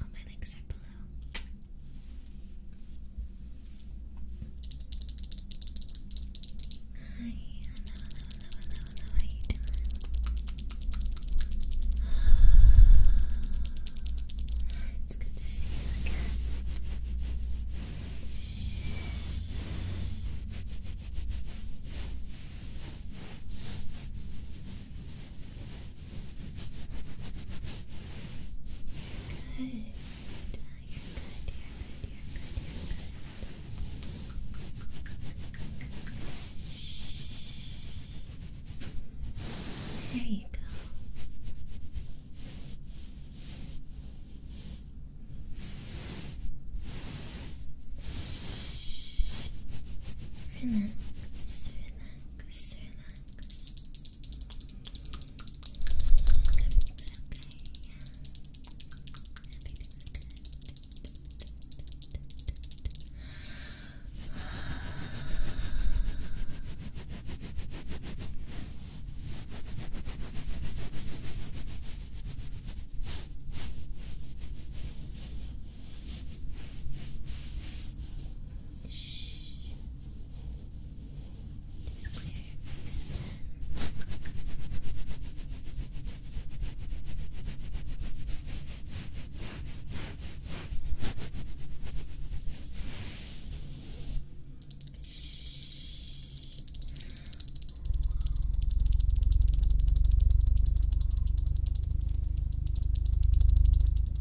All my links are below. Hi, hello, hello, hello, hello, hello, how you It's good to see you again. Shh. Good. You're good, you're good, you're good. Shh. There you go. Shh. Relax, relax relax, everything's okay, yeah, everything's good. Shh. Just clear your face Shh.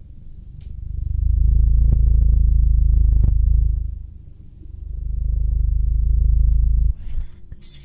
Relax, relax. Shh.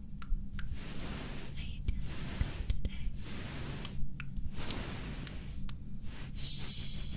Are you doing good today? Shh. Shh.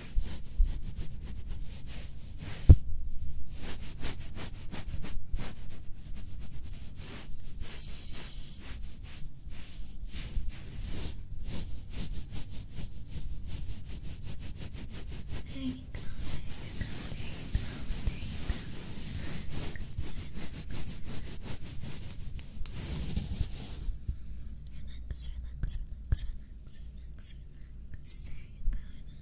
There you go, there you go, there you go, there you go. Relax, relax, relax. Relax, relax, relax, relax, relax. There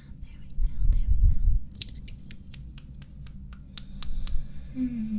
there we go, there we go. Hmm.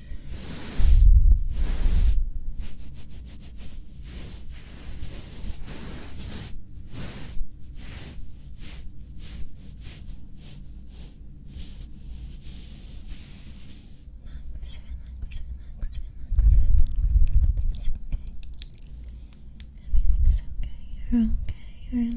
Relax, relax, relax, relax, relax. It's okay. Everything's okay. You're okay. Relax, relax.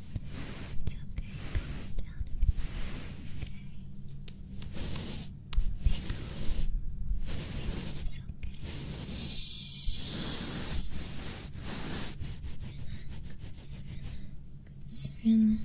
It's okay, calm down, everything's okay. Be okay. Relax, relax, relax. Relax,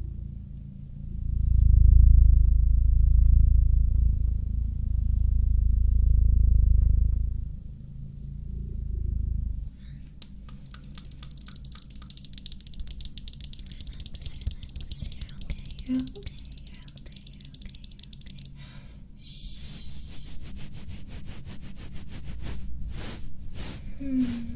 Relax, relax, you're okay, you're okay, you're okay, you're okay, you're okay. Shh. Hmm.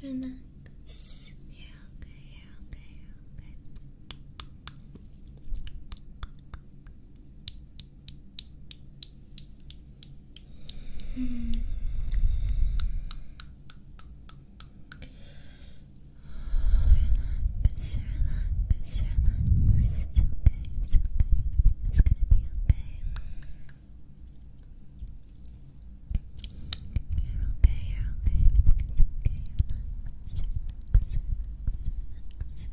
Relax, relax, relax. You're okay, you're okay, you're okay. Mm. Relax, relax, relax. It's okay, it's okay. It's gonna be okay. You're okay, you're okay. It's okay, relax, relax,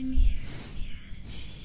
I'm here, I'm here. Good.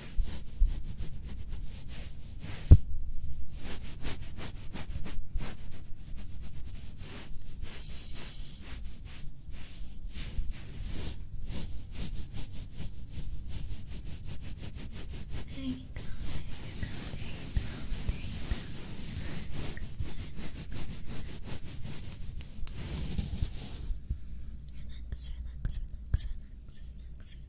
There you go, there you go, there you go, there you go. Sit, sit,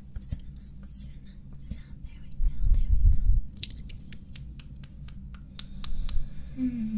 relax, relax, relax. There we go, there we go. Hmm.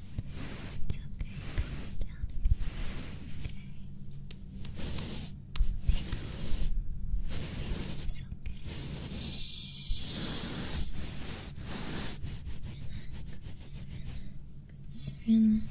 It's okay, calm down everything's okay. Be okay. Relax, relax, relax, relax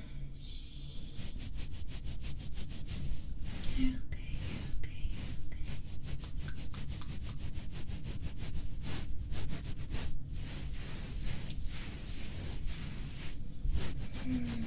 you okay, you okay, okay. Mm.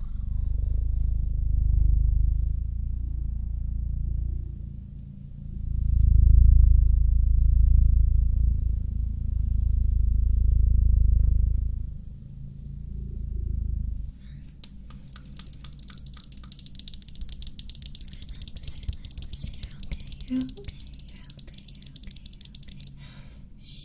Relax, relax, you're okay, you're okay, you're okay, you're okay, you're okay. Shh.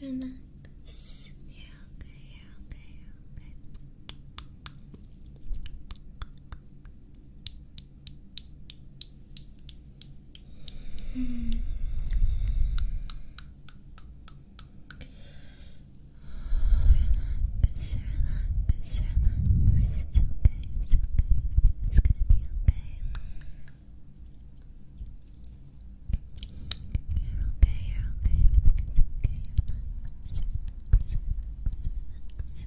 Relax, relax, relax. You're okay, you're okay, you're okay. Mm. Relax, relax, relax. It's okay, it's okay. It's gonna be okay. You're okay, you're okay. It's okay, relax,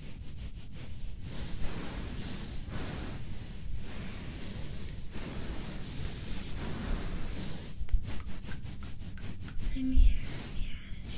I'm here, I'm here. Good.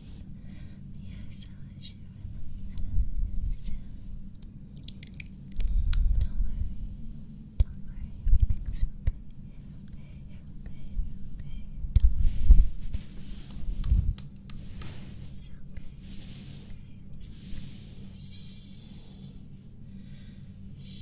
Yes, you Don't worry. Don't worry. Everything's okay. you okay. okay. It's okay. It's okay. It's okay. Shh. Shh.